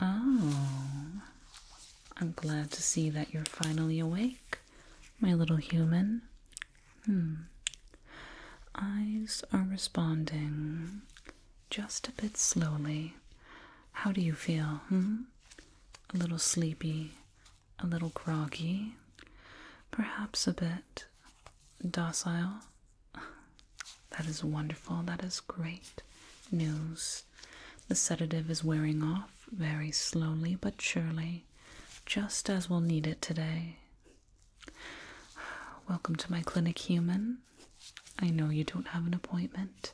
Oh, I'm glad to see that you're finally awake, my little human. Eyes are responding just a bit slowly. How do you feel? A little sleepy, a little groggy, perhaps a bit docile. That is wonderful. That is great news. The sedative is wearing off very slowly but surely, just as we'll need it today. Welcome to my clinic, human. I know you don't have an appointment,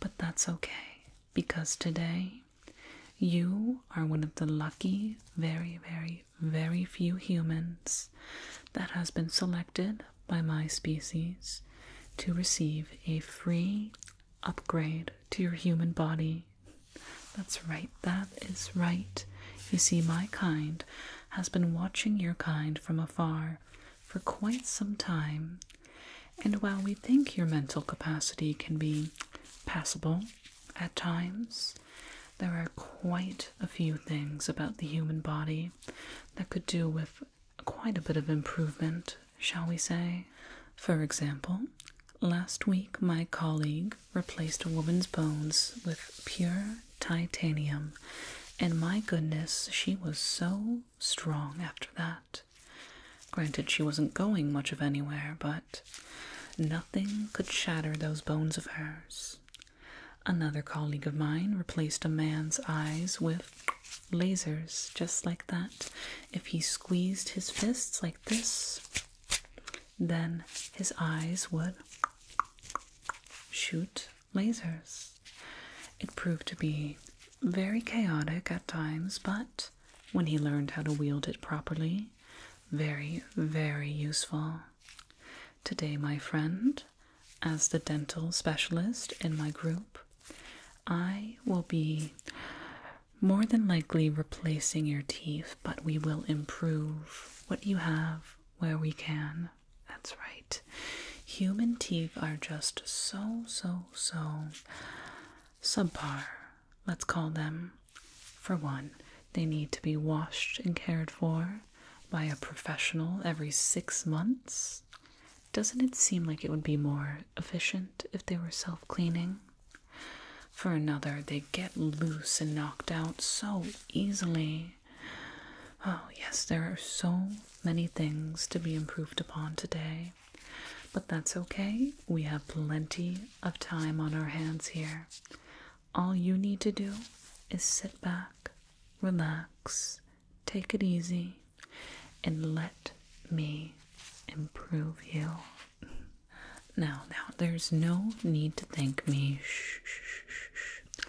but that's okay because today you are one of the lucky, very, very, very few humans that has been selected by my species to receive a free upgrade to your human body. That's right, that is right. You see, my kind has been watching your kind from afar for quite some time, and while we think your mental capacity can be passable at times, there are quite a few things about the human body that could do with quite a bit of improvement, shall we say. For example, last week my colleague replaced a woman's bones with pure titanium, and my goodness, she was so strong after that. Granted, she wasn't going much of anywhere, but nothing could shatter those bones of hers. Another colleague of mine replaced a man's eyes with lasers, just like that. If he squeezed his fists like this, then his eyes would shoot lasers. It proved to be very chaotic at times, but when he learned how to wield it properly. Very, very useful. Today, my friend, as the dental specialist in my group, I will be more than likely replacing your teeth, but we will improve what you have where we can. That's right. Human teeth are just so, so, so subpar let's call them. For one, they need to be washed and cared for by a professional every six months. Doesn't it seem like it would be more efficient if they were self cleaning? For another, they get loose and knocked out so easily. Oh, yes, there are so many things to be improved upon today. But that's okay, we have plenty of time on our hands here. All you need to do is sit back, relax, take it easy, and let me improve you. Now, now, there's no need to thank me. Shh, shh, shh,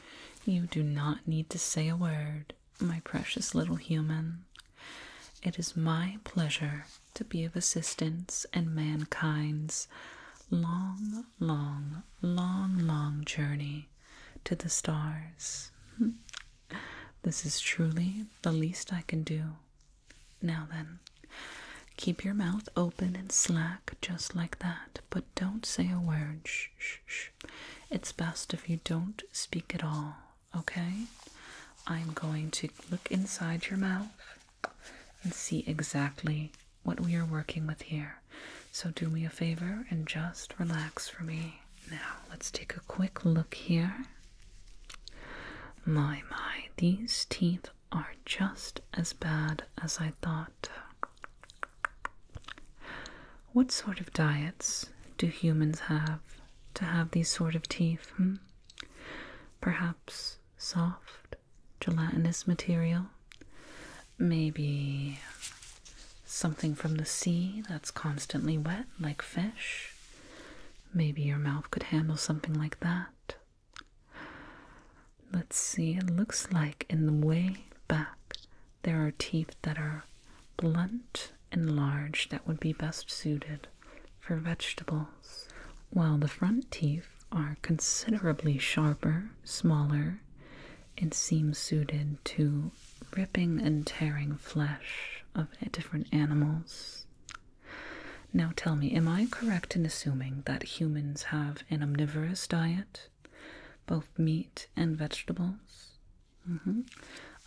You do not need to say a word, my precious little human. It is my pleasure to be of assistance in mankind's long, long, long, long journey to the stars. this is truly the least I can do. Now then, keep your mouth open and slack just like that, but don't say a word. Shh, shh, shh. It's best if you don't speak at all okay? I'm going to look inside your mouth and see exactly what we are working with here. So, do me a favor and just relax for me. Now, let's take a quick look here. My, my, these teeth are just as bad as I thought. What sort of diets do humans have to have these sort of teeth? Hmm? Perhaps soft, gelatinous material. Maybe something from the sea that's constantly wet, like fish. Maybe your mouth could handle something like that. Let's see, it looks like in the way back there are teeth that are blunt and large that would be best suited for vegetables, while the front teeth are considerably sharper, smaller, and seem suited to ripping and tearing flesh of different animals. Now tell me, am I correct in assuming that humans have an omnivorous diet, both meat and vegetables? Mm-hmm.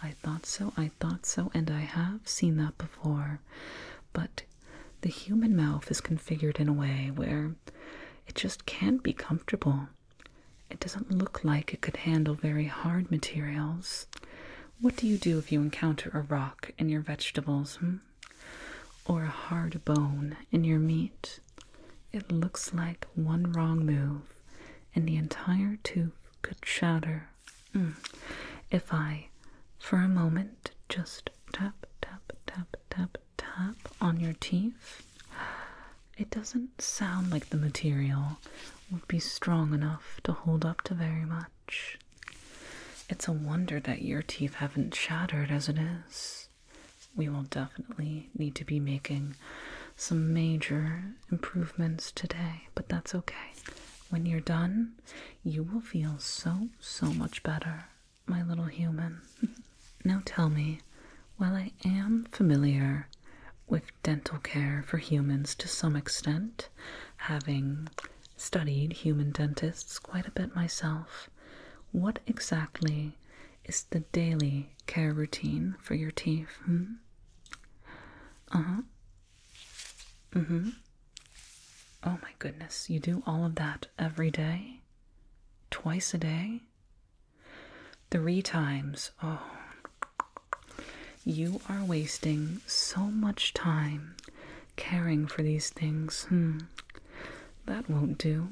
I thought so, I thought so, and I have seen that before. But the human mouth is configured in a way where it just can't be comfortable. It doesn't look like it could handle very hard materials. What do you do if you encounter a rock in your vegetables, hmm? or a hard bone in your meat? It looks like one wrong move, and the entire tooth could shatter. Mm. If I, for a moment, just tap, tap, tap, tap, tap on your teeth, it doesn't sound like the material would be strong enough to hold up to very much. It's a wonder that your teeth haven't shattered as it is. We will definitely need to be making some major improvements today, but that's okay. When you're done, you will feel so, so much better, my little human. now tell me, while I am familiar with dental care for humans to some extent, having studied human dentists quite a bit myself, what exactly is the daily care routine for your teeth? Hmm? Uh huh. Mm hmm. Oh my goodness, you do all of that every day? Twice a day? Three times. Oh. You are wasting so much time caring for these things. Hmm. That won't do.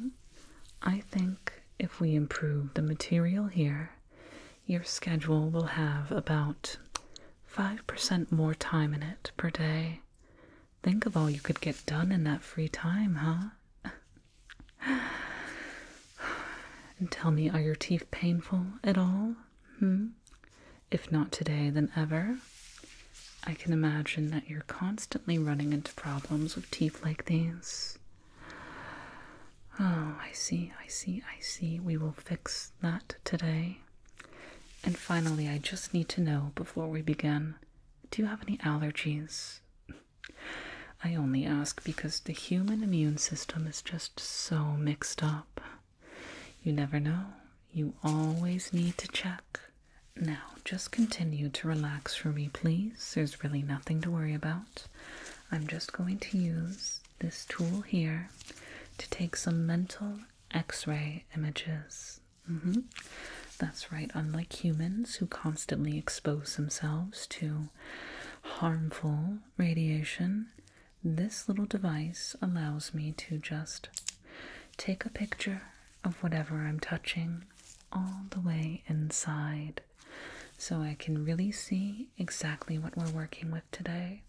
I think if we improve the material here, your schedule will have about 5% more time in it per day. Think of all you could get done in that free time, huh? and tell me, are your teeth painful at all? Hmm? If not today, then ever. I can imagine that you're constantly running into problems with teeth like these. Oh, I see, I see, I see. We will fix that today. And finally, I just need to know before we begin do you have any allergies? I only ask because the human immune system is just so mixed up. You never know. You always need to check. Now, just continue to relax for me, please. There's really nothing to worry about. I'm just going to use this tool here to take some mental x ray images. Mm-hmm. That's right, unlike humans who constantly expose themselves to harmful radiation, this little device allows me to just take a picture of whatever I'm touching all the way inside so I can really see exactly what we're working with today.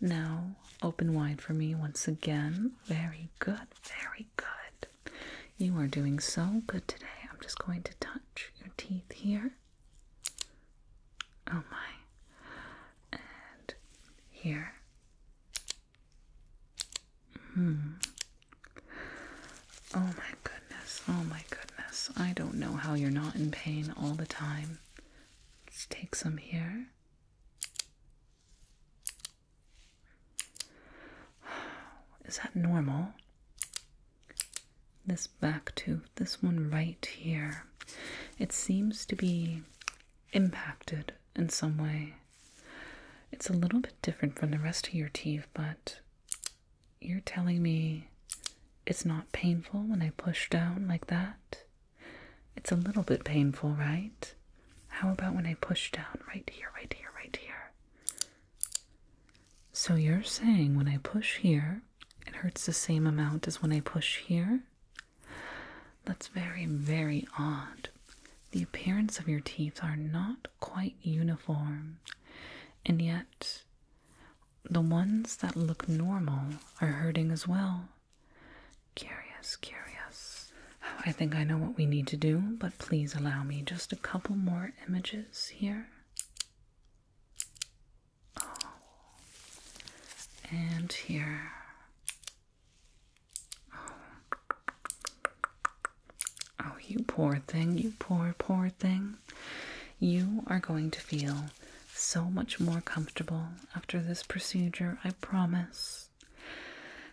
Now, open wide for me once again. Very good, very good. You are doing so good today. I'm just going to touch your teeth here. Oh my. And here. Hmm. Oh my goodness. Oh my goodness. I don't know how you're not in pain all the time. Let's take some here. Is that normal? This back tooth, this one right here, it seems to be impacted in some way. It's a little bit different from the rest of your teeth, but you're telling me it's not painful when I push down like that? It's a little bit painful, right? How about when I push down right here, right here, right here? So you're saying when I push here, it hurts the same amount as when I push here? That's very, very odd. The appearance of your teeth are not quite uniform, and yet the ones that look normal are hurting as well. Curious, curious. I think I know what we need to do, but please allow me just a couple more images here. Oh. And here. Oh. oh, you poor thing, you poor, poor thing you are going to feel so much more comfortable after this procedure, I promise.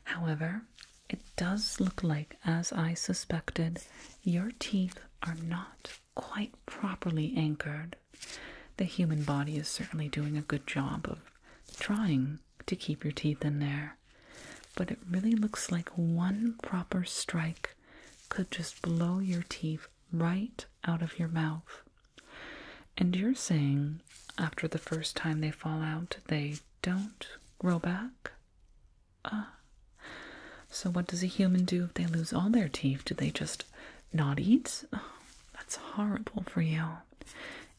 However, it does look like, as I suspected, your teeth are not quite properly anchored. The human body is certainly doing a good job of trying to keep your teeth in there, but it really looks like one proper strike could just blow your teeth right out of your mouth. And you're saying after the first time they fall out, they don't grow back? Ah. So, what does a human do if they lose all their teeth? Do they just not eat? that's horrible for you.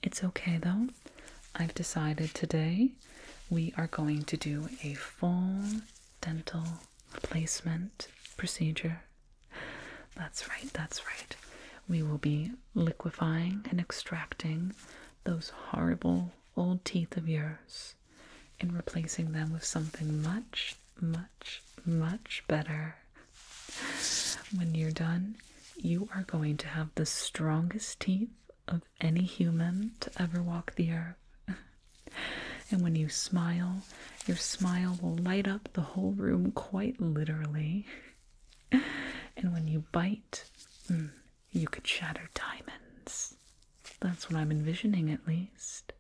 It's okay though. I've decided today we are going to do a full dental replacement procedure. That's right, that's right. We will be liquefying and extracting those horrible old teeth of yours and replacing them with something much, much, much better. When you're done, you are going to have the strongest teeth of any human to ever walk the earth. And when you smile, your smile will light up the whole room quite literally. And when you bite, hmm, you could shatter diamonds. That's what I'm envisioning, at least.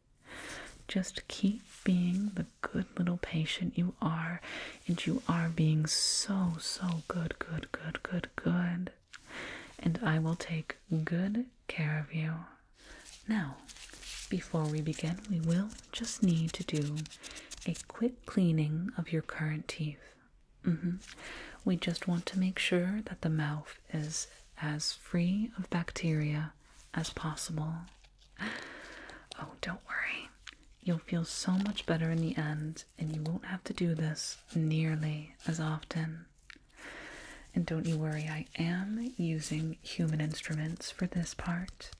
Just keep being the good little patient you are, and you are being so, so good, good, good, good, good. And I will take good care of you. Now, before we begin, we will just need to do a quick cleaning of your current teeth. Mm-hmm. We just want to make sure that the mouth is as free of bacteria as possible. Oh, don't worry. You'll feel so much better in the end, and you won't have to do this nearly as often. And don't you worry, I am using human instruments for this part,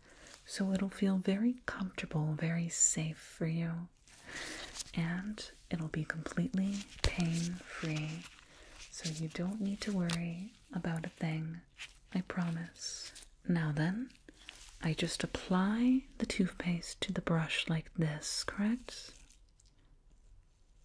so it'll feel very comfortable, very safe for you, and it'll be completely pain free, so you don't need to worry about a thing, I promise. Now then, I just apply the toothpaste to the brush like this, correct?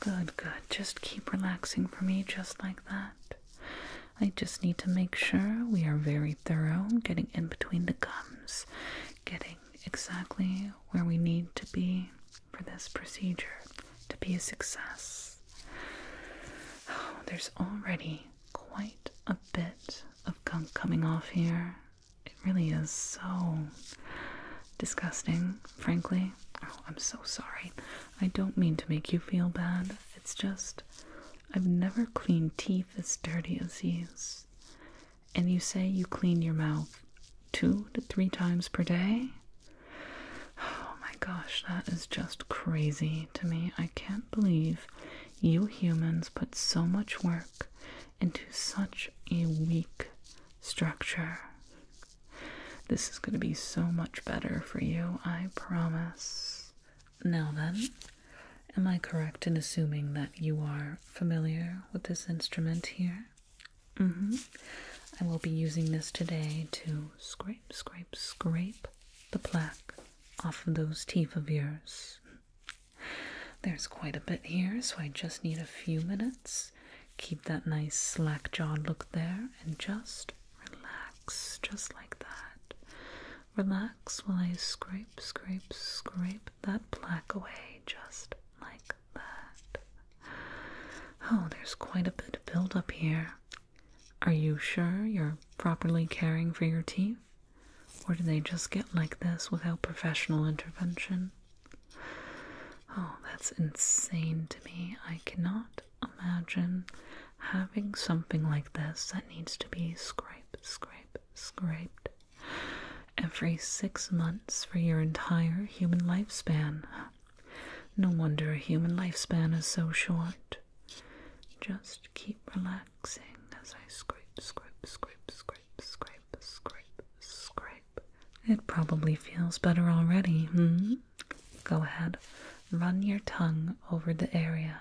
Good, good. Just keep relaxing for me, just like that. I just need to make sure we are very thorough, getting in between the gums, getting exactly where we need to be for this procedure to be a success. there's already quite a bit of gunk coming off here. It really is so disgusting frankly. Oh, I'm so sorry. I don't mean to make you feel bad. It's just I've never cleaned teeth as dirty as these. And you say you clean your mouth two to three times per day? Oh my gosh, that is just crazy to me. I can't believe you humans put so much work into such a weak structure. This is going to be so much better for you, I promise. Now then, am I correct in assuming that you are familiar with this instrument here? Mm hmm. I will be using this today to scrape, scrape, scrape the plaque off of those teeth of yours. There's quite a bit here, so I just need a few minutes Keep that nice slack jawed look there and just relax, just like that. Relax while I scrape, scrape, scrape that plaque away, just like that. Oh, there's quite a bit built up here. Are you sure you're properly caring for your teeth? Or do they just get like this without professional intervention? Oh, that's insane to me. I cannot imagine having something like this that needs to be scrape, scrape, scraped every six months for your entire human lifespan. No wonder a human lifespan is so short. Just keep relaxing as I scrape, scrape, scrape, scrape scrape, scrape, scrape, It probably feels better already. Hmm? Go ahead, run your tongue over the area.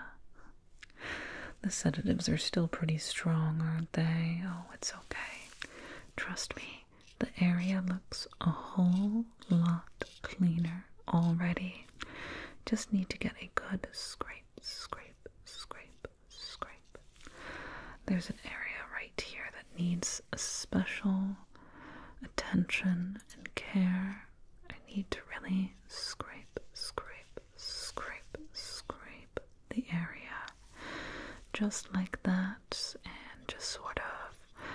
The sedatives are still pretty strong, aren't they? Oh, it's okay. Trust me, the area looks a whole lot cleaner already. Just need to get a good scrape, scrape, scrape, scrape. There's an area right here that needs special attention and care. I need to really scrape, scrape, scrape, scrape the area just like that and just sort of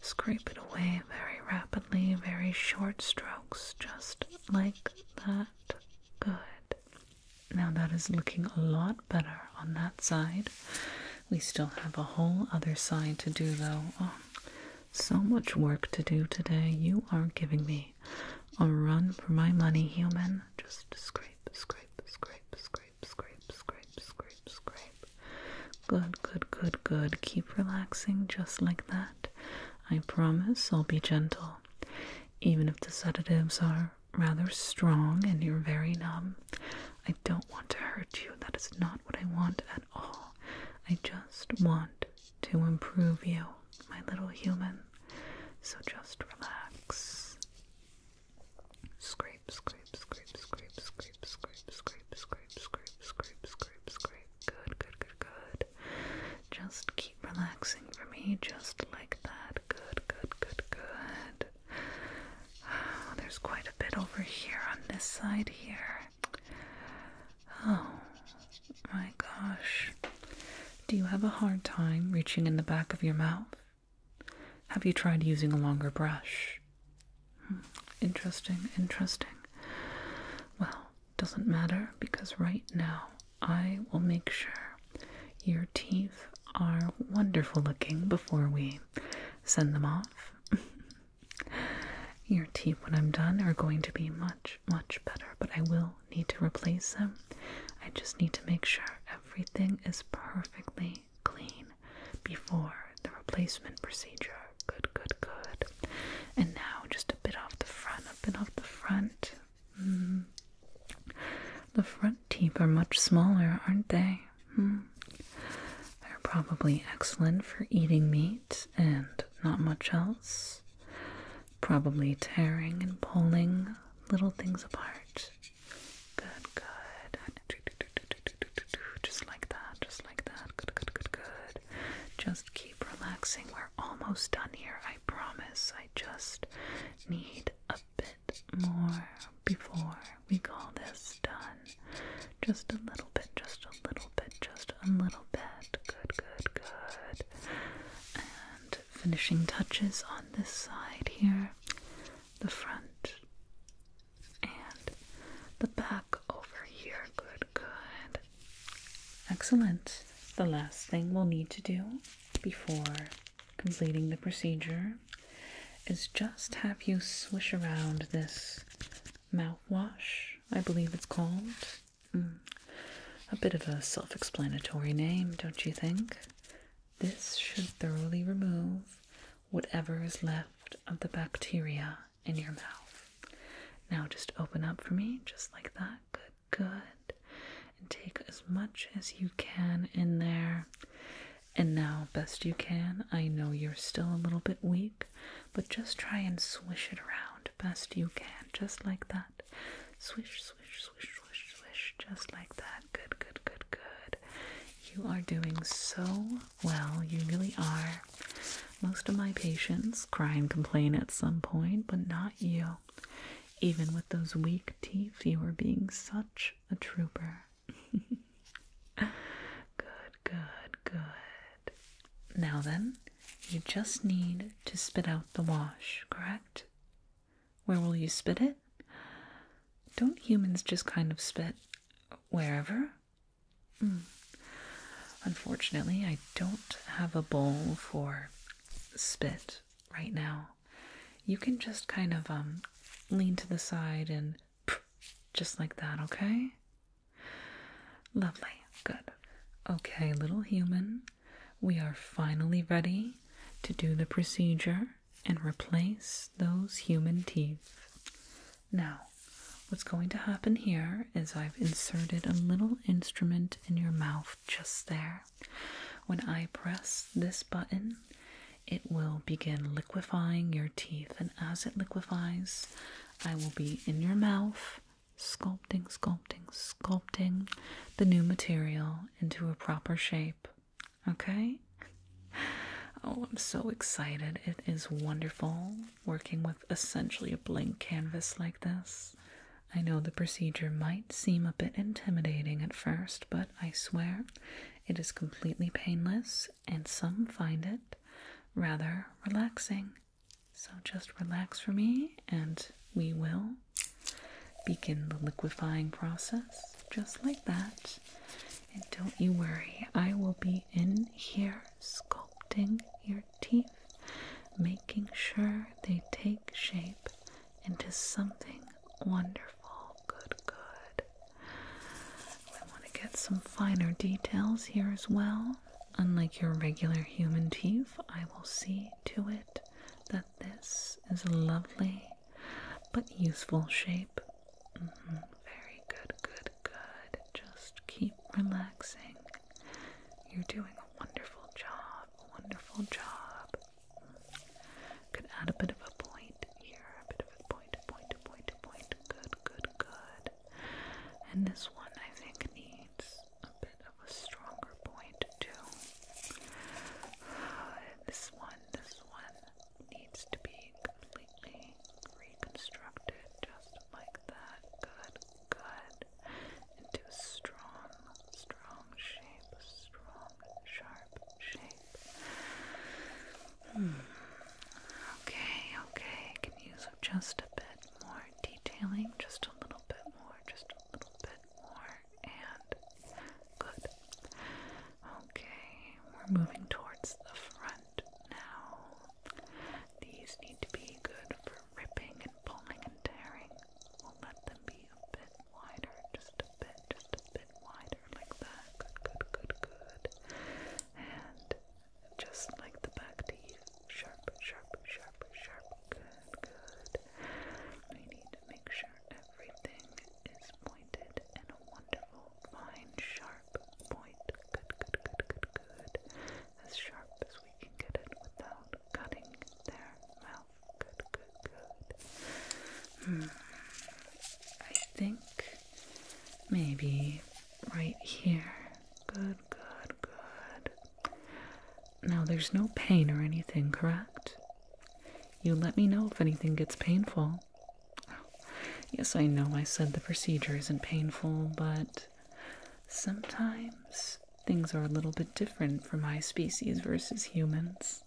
scrape it away very rapidly, very short strokes, just like that. Good. Now that is looking a lot better on that side. We still have a whole other side to do though. Oh, so much work to do today. You are giving me a run for my money, human. Just scrape, scrape, scrape, scrape, scrape, scrape, scrape, scrape. Good, good, good, good. Keep relaxing just like that. I promise I'll be gentle. Even if the sedatives are rather strong and you're very numb. I don't want to hurt you. That is not what I want at all. I just want to improve you, my little human. So just relax. Scrape, scrape, scrape, scrape, scrape, scrape, scrape, scrape, scrape, scrape, scrape, scrape. Good, good, good, good. Just keep relaxing for me, just like that good, good, good, good, oh, there's quite a bit over here on this side here. Oh my gosh. Do you have a hard time reaching in the back of your mouth? Have you tried using a longer brush? Hmm, interesting, interesting. Well, doesn't matter because right now I will make sure your teeth are wonderful looking before we send them off. your teeth, when I'm done, are going to be much, much better, but I will need to replace them. I just need to make sure everything is perfectly clean before the replacement procedure. Good, good, good. And now just a bit off the front, a bit off the front. Mm-hmm. The front teeth are much smaller, aren't they? Hmm. They're probably excellent for eating meat and not much else. Probably tearing and pulling little things apart. Good, good. Just like that, just like that. Good, good, good, good. Just keep relaxing. We're almost done here, I promise. I just need a bit more before we call this done. Just a little bit, just a little bit, just a little bit. Good, good, good. And finishing touches on this side here the front and the back over here. Good, good. Excellent. The last thing we'll need to do before completing the procedure is just have you swish around this mouthwash, I believe it's called. Mm. A bit of a self explanatory name, don't you think? This should thoroughly remove whatever is left of the bacteria in your mouth. Now just open up for me, just like that. Good good and take as much as you can in there. And now, best you can, I know you're still a little bit weak, but just try and swish it around best you can, just like that. Swish, swish, swish, swish, swish, just like that. Good, good, good, good. You are doing so well, you really are. Most of my patients cry and complain at some point, but not you. Even with those weak teeth, you were being such a trooper. good, good, good. Now then, you just need to spit out the wash, correct? Where will you spit it? Don't humans just kind of spit wherever? Hmm. Unfortunately, I don't have a bowl for spit right now you can just kind of um, lean to the side and just like that, okay? Lovely, good. Okay, little human, we are finally ready to do the procedure and replace those human teeth. Now, what's going to happen here is I've inserted a little instrument in your mouth just there. When I press this button, it will begin liquefying your teeth, and as it liquefies, I will be in your mouth, sculpting, sculpting, sculpting the new material into a proper shape. Okay? Oh, I'm so excited. It is wonderful working with essentially a blank canvas like this. I know the procedure might seem a bit intimidating at first, but I swear it is completely painless, and some find it rather relaxing. So just relax for me, and we will begin the liquefying process just like that. And don't you worry, I will be in here sculpting your teeth, making sure they take shape into something wonderful. Good, good. I want to get some finer details here as well. Unlike your regular human teeth, I will see to it that this is a lovely but useful shape. -hmm. Very good, good, good. Just keep relaxing. You're doing a wonderful job wonderful job. Could add a bit of a point here, a bit of a point, Good, good, good. And this one I think needs a bit of a stronger point too. This one, this one needs to be completely reconstructed just like that. Good, good into a strong, strong shape, strong, sharp shape. Hmm. Okay, okay, can use just a bit more detailing, just a little bit more, just a little bit more, and good. Okay, we're moving towards the front now. These need to be good for ripping and pulling and tearing. We'll let them be a bit wider, just a bit, just a bit wider, like that. Good, good, good, good. And just like the back teeth, sharp, sharp, sharp, sharp. Good, good. We need to make sure everything is pointed in a wonderful, fine, sharp point. Good, good, good, good, good. As sharp as we can get it without cutting their mouth. Good, good, good. I think maybe right here. Good, good, good. Now there's no pain or anything, correct? You let me know if anything gets painful. Yes, I know I said the procedure isn't painful, but sometimes Things are a little bit different for my species versus humans.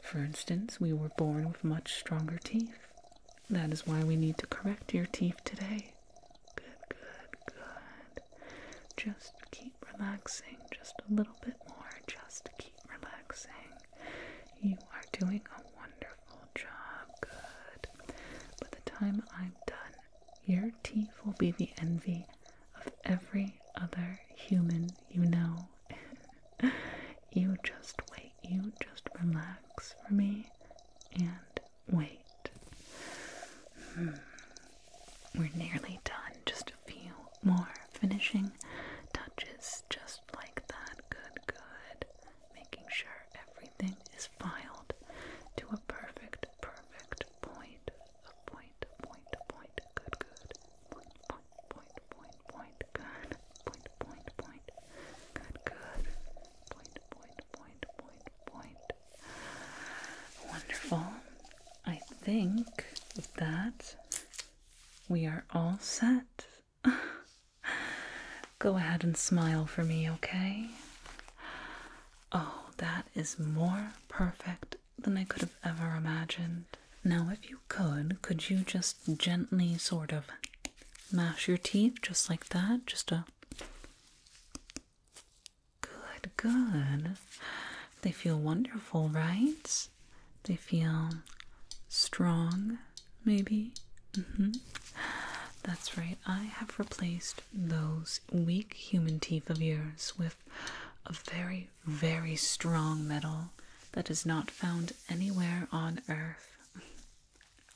For instance, we were born with much stronger teeth. That is why we need to correct your teeth today. Good, good, good. Just keep relaxing just a little bit more. Just keep relaxing. You are doing a wonderful job. Good. By the time I'm done, your teeth will be the envy of every other human you know. you just wait, you just relax for me and wait. Hmm. We're nearly done, just a few more finishing touches, just like that. Good, good. Making sure everything is filed to a perfect, perfect point Point, point, point, good, good. Point, point, point, point, point, good. Point, point, point, good, good. Point, point, point, point, point. Wonderful. I think with that, we are all set. Go ahead and smile for me, okay? Oh, that is more perfect than I could have ever imagined. Now, if you could, could you just gently sort of mash your teeth just like that? Just a. Good, good. They feel wonderful, right? They feel strong, maybe. Mm-hmm. That's right. I have replaced those weak human teeth of yours with a very, very strong metal that is not found anywhere on earth.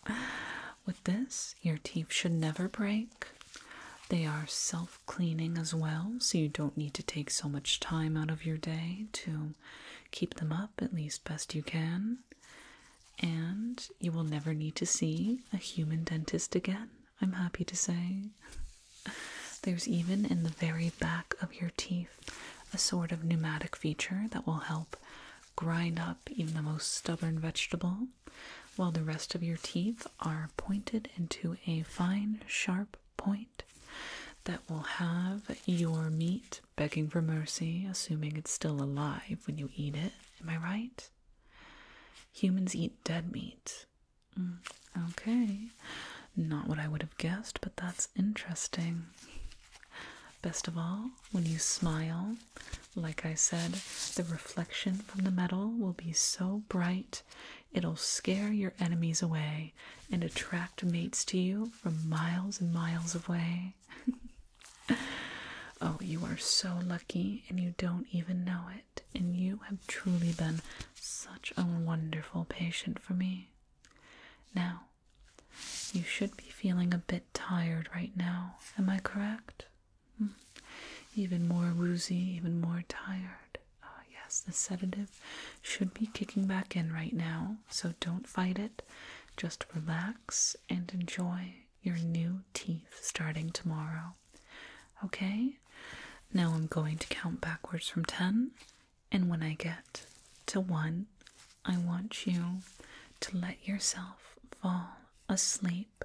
With this, your teeth should never break. They are self cleaning as well, so you don't need to take so much time out of your day to keep them up at least best you can. And you will never need to see a human dentist again. I'm happy to say. There's even in the very back of your teeth a sort of pneumatic feature that will help grind up even the most stubborn vegetable, while the rest of your teeth are pointed into a fine, sharp point that will have your meat begging for mercy, assuming it's still alive when you eat it. Am I right? Humans eat dead meat. Mm, okay. Not what I would have guessed, but that's interesting. Best of all, when you smile, like I said, the reflection from the metal will be so bright it'll scare your enemies away and attract mates to you from miles and miles away. oh, you are so lucky and you don't even know it and you have truly been such a wonderful patient for me. Now, you should be feeling a bit tired right now, am I correct? Hmm? Even more woozy, even more tired. Ah, yes, the sedative should be kicking back in right now, so don't fight it. Just relax and enjoy your new teeth starting tomorrow. Okay? Now I'm going to count backwards from 10, and when I get to 1, I want you to let yourself fall asleep.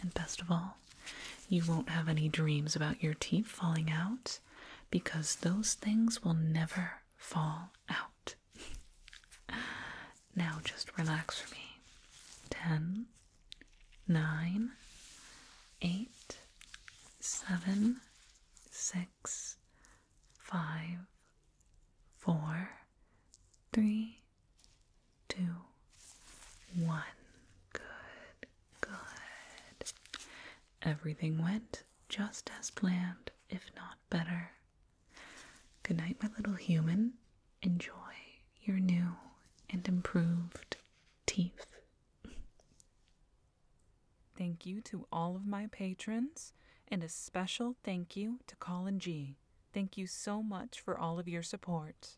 And best of all, you won't have any dreams about your teeth falling out because those things will never fall out. Now just relax for me. Ten, nine, eight, seven, six, five, four, three, two, one. Good, good. Everything went just as planned, if not better. Good night, my little human enjoy your new and improved teeth. Thank you to all of my patrons, and a special thank you to Colin G. Thank you so much for all of your support.